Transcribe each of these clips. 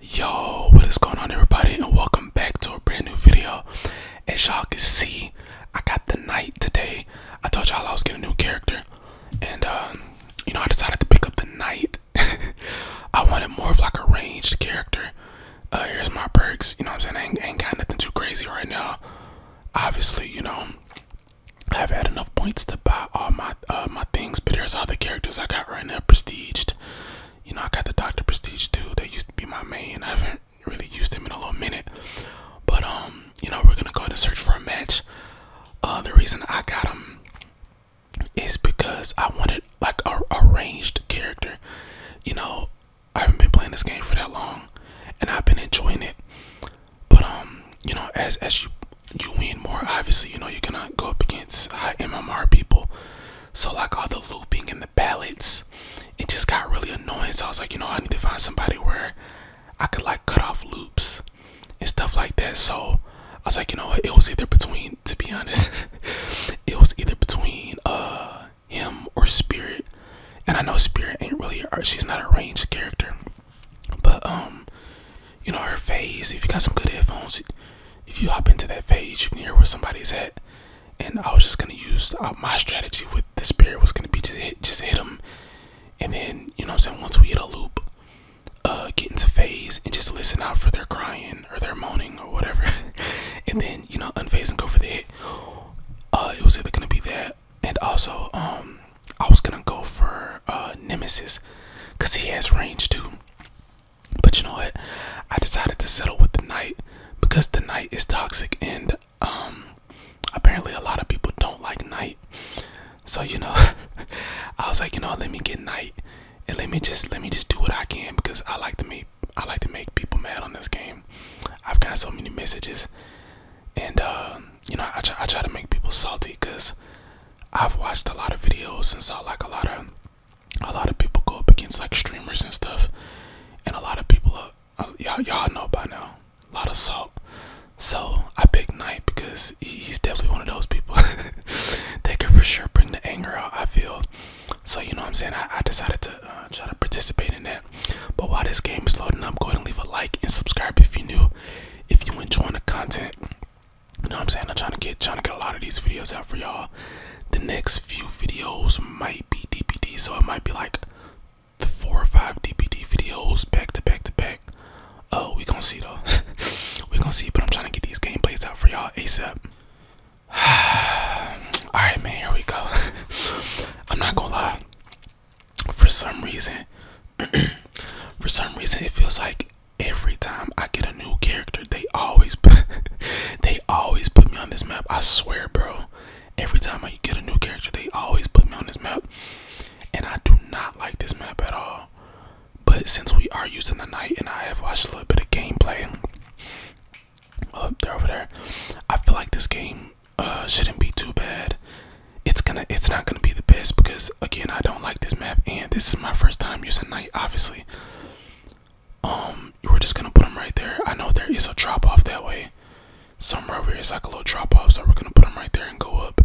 yo what is going on everybody and welcome back to a brand new video as y'all can see i got the knight today i told y'all i was getting a new character and um you know i decided to pick up the knight i wanted more of like a ranged character uh here's my perks you know what i'm saying ain't, got nothing too crazy right now obviously you know i've had enough points to buy all my uh my things but there's other characters i got right now prestiged you know, I got the Dr. Prestige too. They used to be my main. I haven't really used them in a little minute. But, um, you know, we're going to go and search for a match. Uh, the reason I got them is because I wanted, like, a, arranged character. You know, I haven't been playing this game for that long. And I've been enjoying it. But, um, you know, as, as you you win more. Obviously, you know you're gonna go up against high MMR people. So like all the looping and the ballots, it just got really annoying. So I was like, you know, I need to find somebody where I could like cut off loops and stuff like that. So I was like, you know what? It was either between, to be honest, it was either between uh him or Spirit. And I know Spirit ain't really, she's not a ranged character, but um, you know, her phase. If you got some good headphones, if you hop into that phase, you can hear where somebody's at. And I was just gonna use uh, my strategy with the spirit was gonna be just hit, just hit them, and then you know I'm saying. Once we hit a loop, uh, get into phase and just listen out for their crying or their moaning or whatever, and then you know unfaze and go for the hit. Uh, it was either gonna be that, and also um, I was gonna go for uh Nemesis, cause he has range too. But you know what? I decided to settle with the night because the night is toxic and um apparently a lot of people don't like night. So you know I was like, you know, let me get night and let me just let me just do what I can because I like to make I like to make people mad on this game. I've got so many messages and uh you know I I try to make people salty because I've watched a lot of videos and saw like a lot of a lot of people go up against like streamers and stuff, and a lot of people are uh, y'all y'all know by now a lot of salt. So I picked Knight because he's definitely one of those people. they can for sure bring the anger out. I feel. So you know what I'm saying. I, decided to uh, try to participate in that. But while this game is loading up, go ahead and leave a like and subscribe if you're new. If you enjoy the content, you know what I'm saying? I'm trying to get trying to get a lot of these videos out for y'all. The next few videos might be DPD, so it might be like the four or five DPD videos back to back to back. Oh, we gonna see though. we gonna see, but I'm trying to get these gameplays out for y'all ASAP. Alright man, here we go. I'm not gonna lie. For some reason for some reason it feels like every time I get a new character, they always they always put me on this map. I swear, bro. Every time I get a new character, they always put me on this map. And I do not like this map at all. But since we are using the night and I have watched a little bit of gameplay, oh, they're over there. I feel like this game uh, shouldn't be too bad. It's gonna, it's not gonna be the best because again I don't like this map and this is my first time using night obviously. Um we're just gonna put them right there. I know there is a drop off that way. Somewhere over here is like a little drop off, so we're gonna put them right there and go up.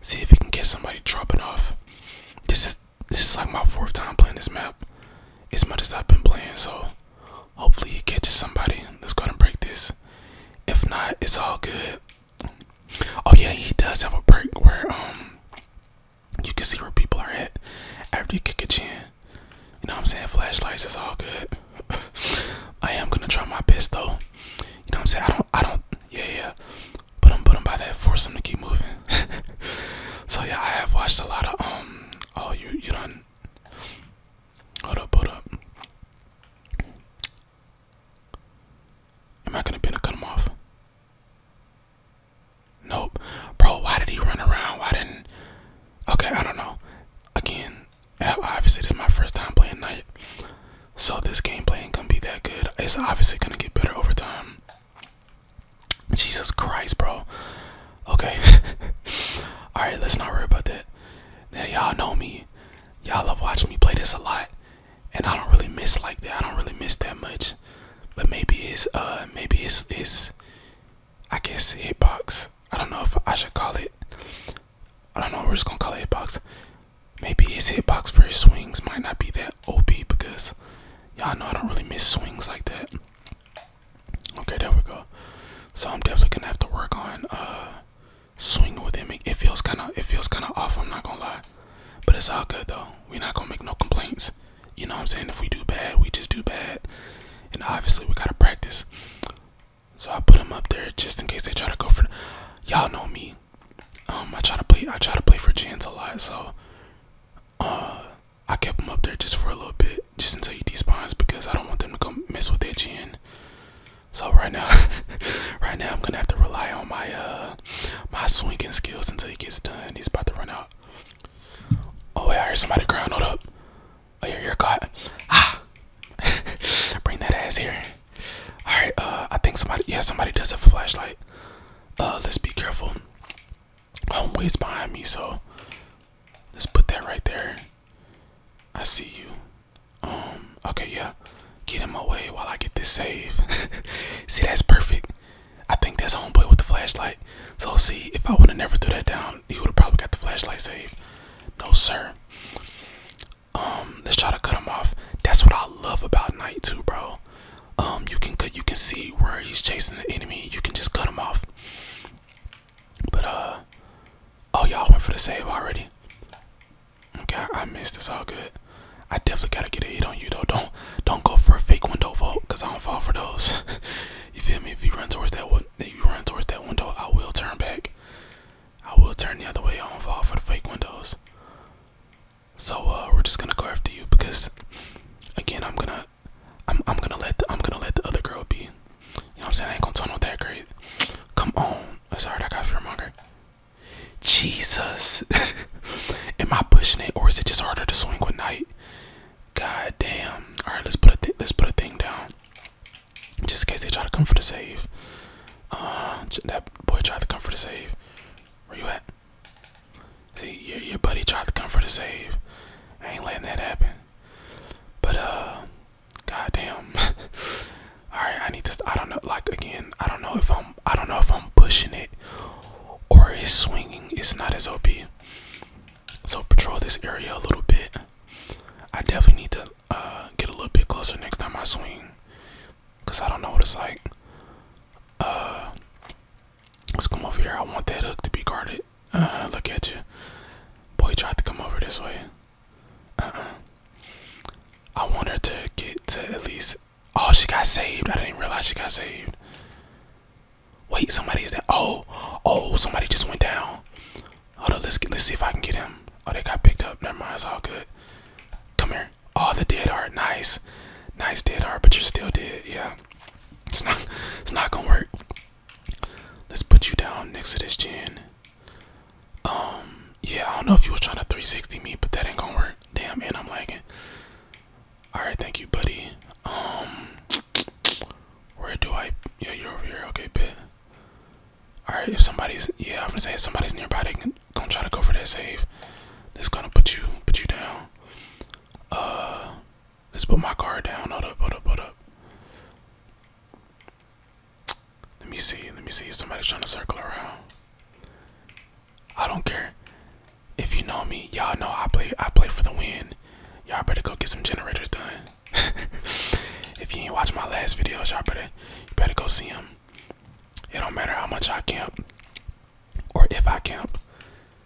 See if we can get somebody dropping off. This is this is like my fourth time playing this map. As much as I've been playing, so hopefully he catches somebody. Let's go and break this. If not, it's all good. Oh yeah, he does have a break where um you can see where people are at after you kick a chin. You know what I'm saying? Flashlights is all good. I am gonna try my best though. You know what I'm saying? I don't I don't yeah yeah. But I'm but I'm by that force to keep moving. so yeah, I have watched a lot of um oh you you done Hold up, hold up. Am I gonna be able to cut him off? Nope. Bro, why did he run around? Why didn't Okay, I don't know. Again, obviously this is my first time playing night. So this gameplay ain't gonna be that good. It's obviously gonna get better over time. Jesus Christ, bro. Okay. Alright, let's not worry about that. y'all know me. Y'all love watching me play this a lot and I don't really miss like that. I don't really miss that much. But maybe it's uh maybe it's it's I guess hitbox. I don't know if I should call it. I don't know. We're just gonna call it hitbox. Maybe his hitbox for his swings might not be that OP because y'all know I don't really miss swings like that. Okay, there we go. So I'm definitely gonna have to work on uh swing with him. It feels kind of it feels kind of awful. I'm not gonna lie, but it's all good though. We're not gonna make no complaints. You know what I'm saying? If we do bad, we just do bad, and obviously we gotta practice. So I put them up there just in case they try to go for. Y'all know me. Um, I try to play. I try to play for Jans a lot, so uh, I kept them up there just for a little bit, just until he despawns because I don't want them to come mess with their chin. So right now, right now I'm gonna have to rely on my uh my swinging skills until he gets done. He's about to run out. Oh wait, I heard somebody crying. Hold up. Oh yeah, you're caught. Ah, bring that ass here. All right. Uh, I think somebody. Yeah, somebody does have a flashlight. Uh, let's be careful. Home am ways behind me, so let's put that right there. I see you. Um, okay, yeah. Get him away while I get this save. see, that's perfect. I think that's homeboy with the flashlight. So see, if I would have never threw that down, he would have probably got the flashlight saved. No, sir. Um, let's try to cut him off. That's what I love about night two, bro. Um, you can you can see where he's chasing the enemy. You can just cut him off. But uh, oh y'all went for the save already. Okay, I missed. It's all good. I definitely gotta get a hit on you though. Don't don't go for a fake window vault, cause I don't fall for those. you feel me? If you run towards that one, if you run towards that window, I will turn back. I will turn the other way. I don't fall for the fake windows. So uh, we're just gonna go after you because, again, I'm gonna, I'm I'm gonna let the, I'm gonna let the other girl be. You know what I'm saying? I ain't gonna turn on that great. Come on. Sorry, I got fearmonger. Jesus. Am I pushing it or is it just harder to swing with night? God damn. Alright, let's put a let's put a thing down. Just in case they try to come for the save. Uh that boy tried to come for the save. Where you at? See, your buddy tried to come for the save. I ain't letting that happen. But uh god damn. all right i need this i don't know like again i don't know if i'm i don't know if i'm pushing it or it's swinging it's not as op so patrol this area a little bit i definitely need to uh, get a little bit closer next time i swing because i don't know what it's like uh, let's come over here i want that hook to be guarded uh, look at you boy tried to come over this way uh -uh. I want her to get to at least. Oh, she got saved. I didn't realize she got saved. Wait, somebody's there. Oh, oh, somebody just went down. Hold on, let's let's see if I can get him. Oh, they got picked up. Never mind, it's all good. Come here. Oh, the dead heart. Nice, nice dead heart. But you're still dead. Yeah, it's not, it's not gonna work. Let's put you down next to this gin. Um, yeah, I don't know if you was trying to 360 me, but that ain't gonna work. Damn, and I'm lagging. Alright, thank you, buddy. Um, where do I? Yeah, you're over here. Okay, pit. Alright, if somebody's, yeah, I'm gonna say if somebody's nearby, they can gonna try to go for that save. This gonna put you, put you down. Uh, let's put my car down. Hold up, hold up, hold up. Let me see. Let me see if somebody's trying to circle around. I don't care. If you know me, y'all know I play. I play for the win. Y'all better go get some generators done. if you ain't watched my last videos, y'all better better go see them. It don't matter how much I camp or if I camp.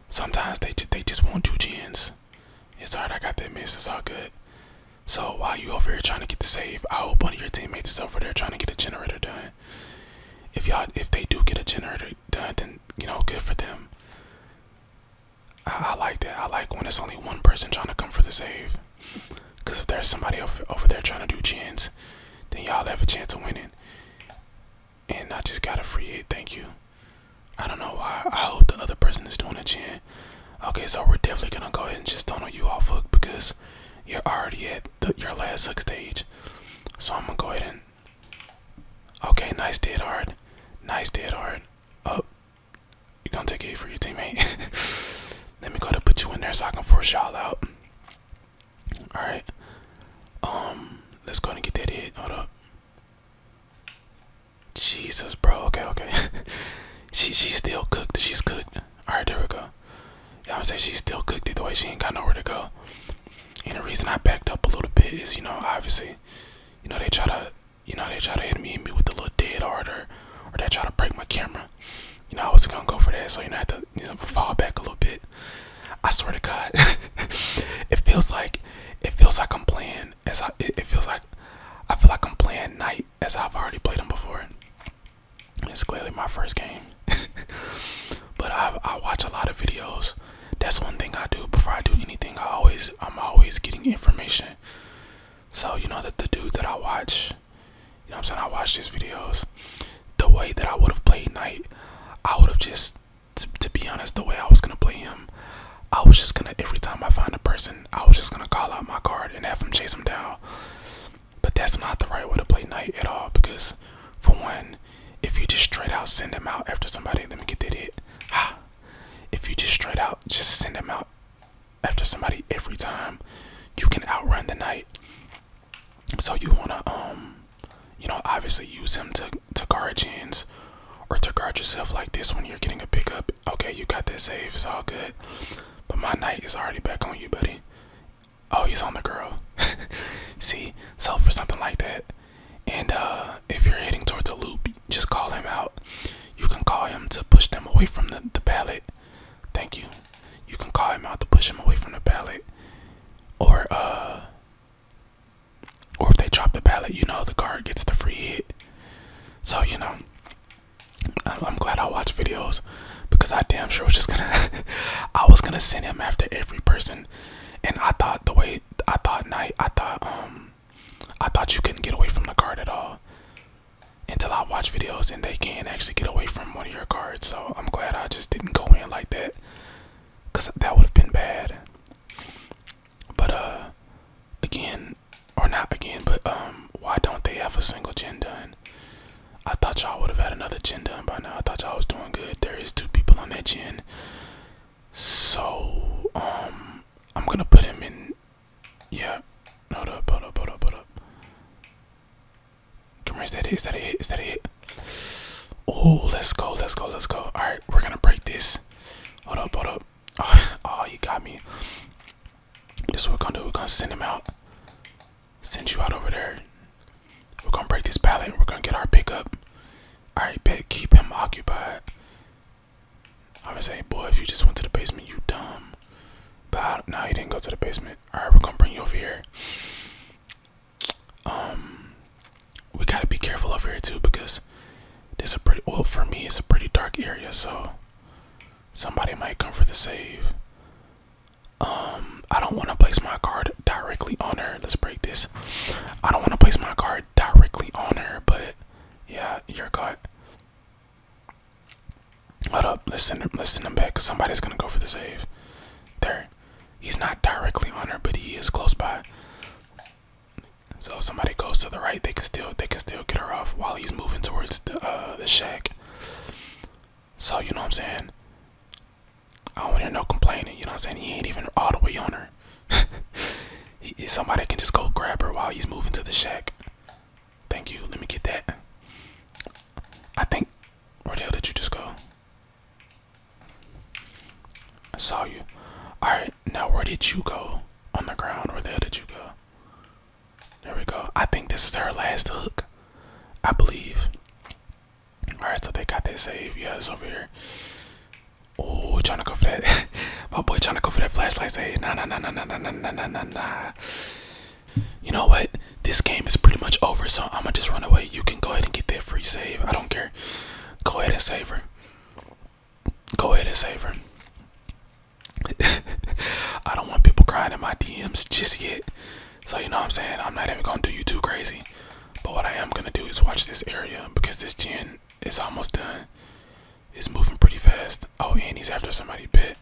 Sometimes they they just won't do gens. It's hard. I got that miss. It's all good. So while you over here trying to get the save, I hope one of your teammates is over there trying to get a generator done. If y'all, if they do get a generator done, then you know, good for them. I, like that. I like when it's only one person trying to come for the save. Cause if there's somebody over, over there trying to do chins, then y'all have a chance of winning. And I just got a free hit. Thank you. I don't know why. I hope the other person is doing a chin. Okay, so we're definitely gonna go ahead and just tunnel you off hook because you're already at your last hook stage. So I'm gonna go ahead and. Okay, nice dead hard. Nice dead hard. Up. Oh, you're gonna take it for your teammate. Let me go to put you in there so I can force y'all out. Alright. Um, let's go and get that hit. Hold up. Jesus, bro. Okay, okay. she she's still cooked. She's cooked. All right, there we go. Y'all say she's still cooked the way. She ain't got nowhere to go. And the reason I backed up a little bit is, you know, obviously, you know, they try to, you know, they try to hit me, and me with the little dead order or, they try to break my camera. You know, I was not gonna go for that, so you know, I had to you know, fall back a little bit. I swear to God, it feels like, it feels like I'm playing as I, it feels like, I feel like I'm playing night as I've already played them before. it's clearly my first game. but I watch a lot of videos. That's one thing I do before I do anything. I always I'm always getting information. So you know that the dude that I watch, you know I'm saying, I watch these videos. The way that I would have played Knight, I would have just to, to be honest, the way I was gonna play him, I was just gonna every time I find a person, I was just gonna call out my card and have him chase him down but that's not the right way to play knight at all because, for one, if you just straight out send them out after somebody, let me get that hit. Ha! If you just straight out just send them out after somebody every time, you can outrun the knight. So you wanna um, you know, obviously use him to to guard gens or to guard yourself like this when you're getting a pickup. Okay, you got that save. It's all good. But my knight is already back on you, buddy. Oh, he's on the girl. See, so for something like that, and uh, if you're heading towards a loop, just call him out. You can call him to push them away from the, the pallet. Thank you. You can call him out to push him away from the pallet, or uh, or if they drop the pallet, you know the guard gets the free hit. So you know, I'm glad I watched videos because I damn sure was just gonna I was gonna send him after every person and I thought the way I thought night I thought um I thought you couldn't get away from the card at all until I watched videos and they can actually get away from one of your cards so I'm glad I just didn't go in like that because that would have been bad but uh again or not again but um why don't they have a single gen done i thought y'all would have had another gen done by now i thought y'all was doing good there is two people on that gen so um i'm gonna put him in yeah hold up hold up hold up hold up come here is that it is that a hit is that a hit oh let's go let's go let's go all right we're gonna break this hold up hold up oh, oh you got me this is what we're gonna do. We're gonna send him out. Send you out over there. We're gonna break this pallet. We're gonna get our pickup. Alright, bet keep him occupied. I would say, boy, if you just went to the basement, you dumb. But no, nah, he didn't go to the basement. Alright, we're gonna bring you over here. Um we gotta be careful over here too because there's a pretty well for me it's a pretty dark area, so Somebody might come for the save. Um, I don't want to place my card directly on her. Let's break this. I don't want to place my card directly on her, but yeah, you're caught. Hold up, let's send him, let's send him back because somebody's gonna go for the save. There, he's not directly on her, but he is close by. So if somebody goes to the right, they can still they can still get her off while he's moving towards the uh, the shack. So you know what I'm saying. I don't hear no complaining. You know what I'm saying. He ain't even all the way on her. somebody can just go grab her while he's moving to the shack. Thank you. Let me get that. I think. Where the hell did you just go? I saw you. Alright, now where did you go on the ground? Where the hell did you go? There we go. I think this is her last hook. I believe. Alright, so they got that save. Yeah, it's over here. Oh, trying to go for that. My boy trying to go for that flashlight save. Nah, nah, nah, nah, nah, nah, nah, nah, nah, nah. You know what? This game is pretty much over, so I'm going to just run away. You can go ahead and get that free save. I don't care. Go ahead and save her go ahead and save her. I don't want people crying in my DMs just yet. So you know what I'm saying? I'm not even gonna do you too crazy. But what I am gonna do is watch this area because this gin is almost done. It's moving pretty fast. Oh, and he's after somebody. Bit.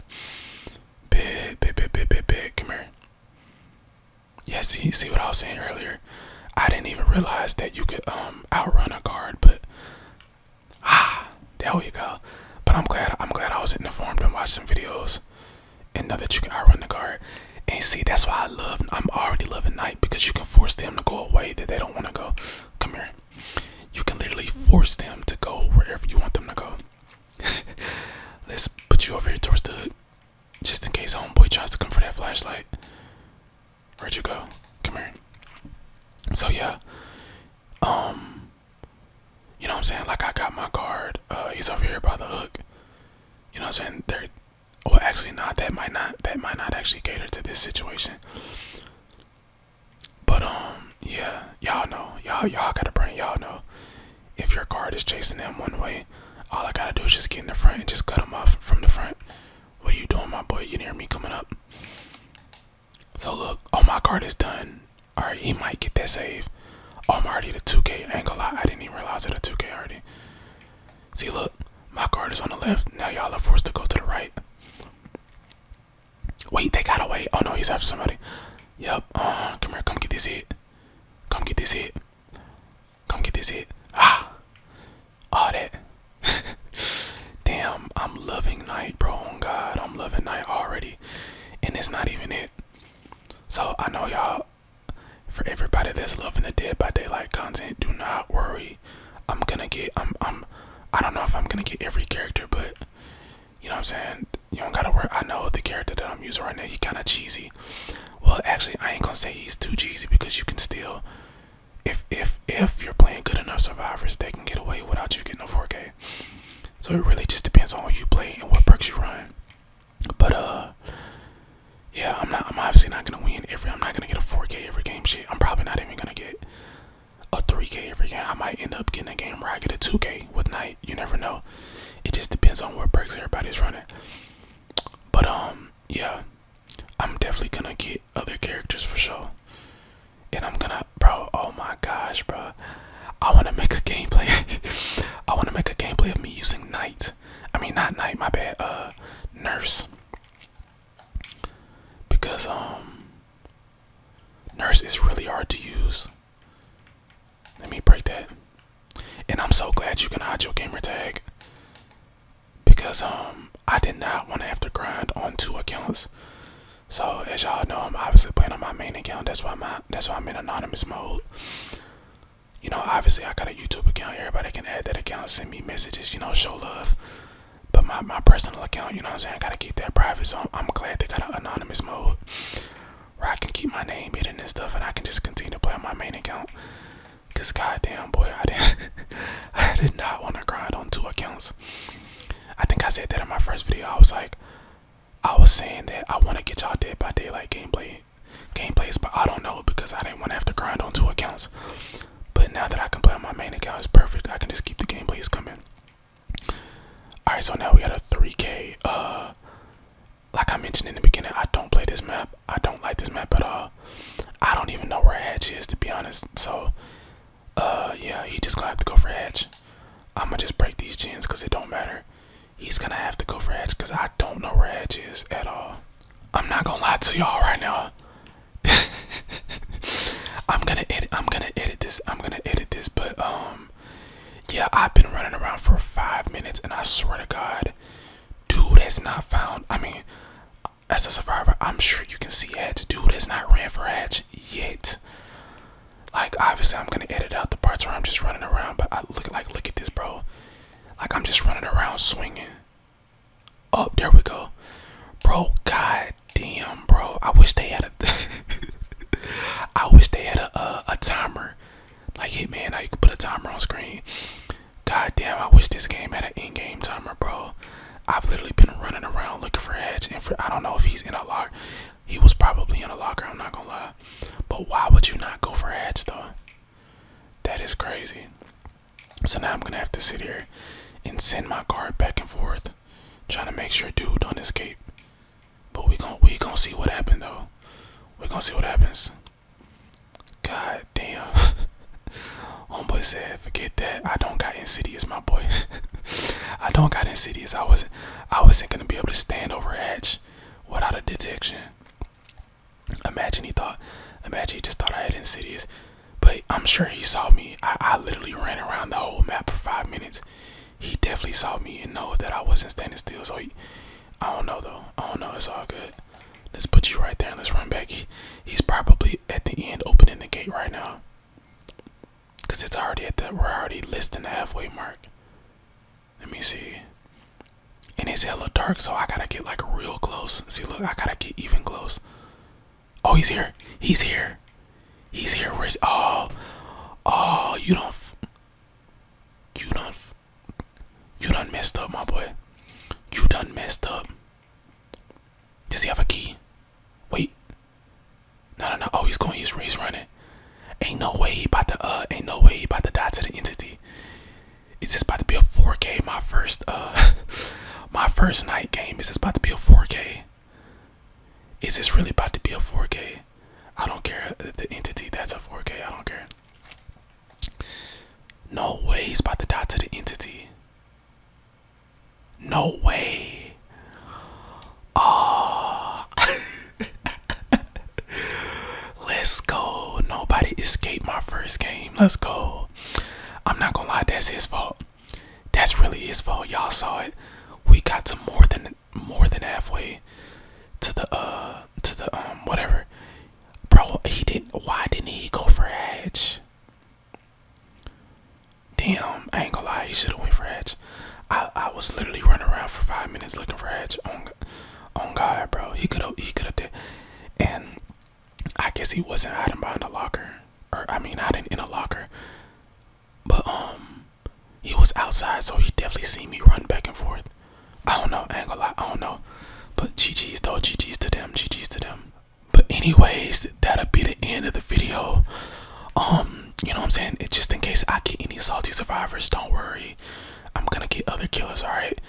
Bit, bit, bit, bit, bit, bit. Come here. Yeah, see, see what I was saying earlier? I didn't even realize that you could um outrun a guard, but Ah, there we go. But I'm glad I'm glad I was informed and watched some videos and know that you can outrun the guard. And see, that's why I love I'm already loving night because you can force them to go away that they don't want to go. Come here. You can literally force them to go wherever you want them to go. Let's put you over here towards the hood. Just in case homeboy tries to come for that flashlight. Where'd you go? Come here. So yeah. Um you know what I'm saying? Like I got my guard. Uh he's over here by the hook. You know I'm saying? They're well actually not that might not that might not actually cater to this situation. But um yeah, y'all know. Y'all y'all gotta bring y'all know. If your guard is chasing them one way, all I gotta do is just get in the front and just cut them off from the front. What are you doing, my boy? You did hear me coming up. So look, oh my guard is done. All right, he might get that save. Oh, I'm already 2K angle. I, didn't even realize it a 2K already. See, look, my guard is on the left. Now y'all are forced to go to the right. Wait, they got away. Oh no, he's after somebody. Yep. Uh, come here. Come get this hit. Come get this hit. Come get this hit. Ah audit. Damn, I'm loving night, bro. On God, I'm loving night already, and it's not even it. So I know y'all. For everybody that's loving the Dead by Daylight content, do not worry. I'm gonna get. I'm. I'm. I don't know if I'm gonna get every character, but you know what I'm saying. You don't gotta worry. I know the character that I'm using right now. He kind of cheesy. Well, actually, I ain't gonna say he's too cheesy because you can still if if if you're playing good enough survivors, they can get away without you getting a 4K. So it really just depends on who you play and what perks you run. But uh, yeah, I'm not. I'm obviously not gonna win every. I'm not gonna get a 4K every game. Shit, I'm probably not even gonna get a 3K every game. I might end up getting a game where I get a 2K with night. You never know. It just depends on what perks everybody's running. But um, yeah, I'm definitely gonna get other characters for sure. And I'm gonna, bro, oh my gosh, bro. I wanna make a gameplay. I wanna make a gameplay of me using Knight. I mean, not Knight, my bad, uh, Nurse. Because, um, Nurse is really hard to use. Let me break that. And I'm so glad you can hide your gamer tag because um I did not want to have to grind on two accounts. So as y'all know, I'm obviously playing on my main account. That's why my that's why I'm in anonymous mode. You know, obviously I got a YouTube account. Everybody can add that account, send me messages. You know, show love. But my my personal account, you know what I'm saying, I gotta keep that private. So I'm, I'm glad they got an anonymous mode where I can keep my name hidden and stuff, and I can just continue to play on my main account. Cause goddamn boy, I didn't, I did not want to grind on two accounts. I think I said that in my first video. I was like, I was saying that I want to get y'all dead by daylight gameplay, gameplays, but I don't know because I didn't want to have to grind on two accounts. But now that I can play on my main account, it's perfect. I can just keep the gameplays coming. All right, so now we got a 3K. Uh, like I mentioned in the beginning, I don't play this map. I don't like this map at all. I don't even know where Edge is to be honest. So, uh, yeah, he just gonna have to go for Edge. I'm gonna just break these gens because it don't matter. He's gonna have to go for Hedge because I don't know where Edge is at all. I'm not gonna lie to y'all right now. I'm gonna edit. I'm gonna edit this. I'm gonna edit this. But um, yeah, I've been running around for five minutes, and I swear to God, dude has not found. I mean, as a survivor, I'm sure you can see ads. Dude it's not ran for ads yet. Like obviously, I'm gonna edit out the parts where I'm just running around. But I look like look at this, bro. Like I'm just running around swinging. Oh, there we go, bro. God damn, bro. I wish they had a. I wish they had a a, timer. Like Hitman, how you could put a timer on screen. God damn, I wish this game had an in-game timer, bro. I've literally been running around looking for Edge, and I don't know if he's in a locker. He was probably in a locker. I'm not gonna lie. But why would you not go for Edge though? That is crazy. So now I'm gonna have to sit here and send my guard back and forth, trying to make sure dude don't escape. But we gonna we gonna see what happens though. We gonna see what happens. God damn. Homeboy said, forget that. I don't got insidious, my boy. I don't got insidious. I wasn't I wasn't gonna be able to stand over edge without a detection. Imagine he thought imagine he just thought I had insidious. But I'm sure he saw me. I, I literally ran around the whole map for five minutes. He definitely saw me and know that I wasn't standing still, so he I don't know though. I don't know, it's all good. Let's put you right there and let's run back. he's probably at the end opening the gate right now. Cause it's already at the we're already less the halfway mark. Let me see. And it's hella dark, so I gotta get like real close. See look, I gotta get even close. Oh he's here. He's here. He's here. Where's oh oh you don't you don't you done messed up my boy. You done messed up. Does he have a key? Wait. No, no, no. Oh, he's going. He's, race running. Ain't no way he about to. Uh, ain't no way he about to die to the entity. Is this about to be a 4K? My first. Uh, my first night game. Is this about to be a 4K? Is this really about to be a 4K? I don't care. The entity that's a 4K. I don't care. No way he's about to die to the entity. No way. Oh. Let's go. Nobody escaped my first game. Let's go. I'm not gonna lie, that's his fault. That's really his fault. Y'all saw it. We got to more than more than halfway to the uh to the um whatever. Bro, he didn't. Why didn't he go for edge? Damn, I ain't gonna lie. He should have went for edge. I I was literally running around for five minutes looking for edge. On on God, bro. He could have. He could have did. And I guess he wasn't hiding behind a locker, or I mean, hiding in a locker. But um, he was outside, so he definitely seen me run back and forth. I don't know, I I don't know. But GG's though, GG's to them, GG's to them. But anyways, that'll be the end of the video. Um, you know what I'm saying? just in case I get any salty survivors, don't worry. I'm gonna get other killers, alright?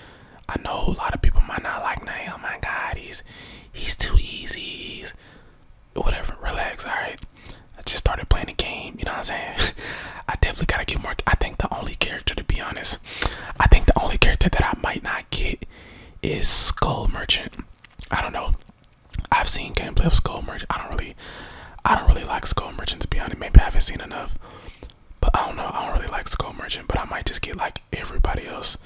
I know a lot of people might not like Nay, oh my god, he's he's too easy, he's whatever, relax, alright? I just started playing the game, you know what I'm saying? I definitely gotta get more I think the only character to be honest I think the only character that I might not get is Skull Merchant. I don't know. I've seen gameplay of Skull Merchant. I don't really, I don't really like Skull Merchant to be honest. Maybe I haven't seen enough, but I don't know. I don't really like Skull Merchant, but I might just get like everybody else,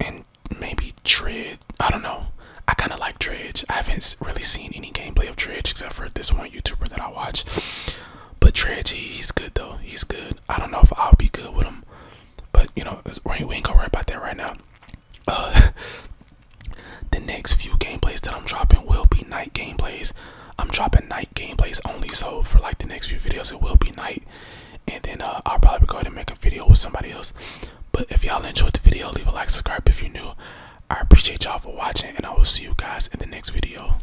and maybe Dread. I don't know. I kind of like Dredge. I haven't really seen any gameplay of Dredge except for this one YouTuber that I watch. But Treji, he's good though. He's good. I don't know if I'll be good with him, but you know, we ain't, gonna worry about that right now. Uh, the next few gameplays that I'm dropping will be night gameplays. I'm dropping night gameplays only, so for like the next few videos, it will be night. And then uh, I'll probably go ahead and make a video with somebody else. But if y'all enjoyed the video, leave a like, subscribe if you're new. I appreciate y'all for watching, and I will see you guys in the next video.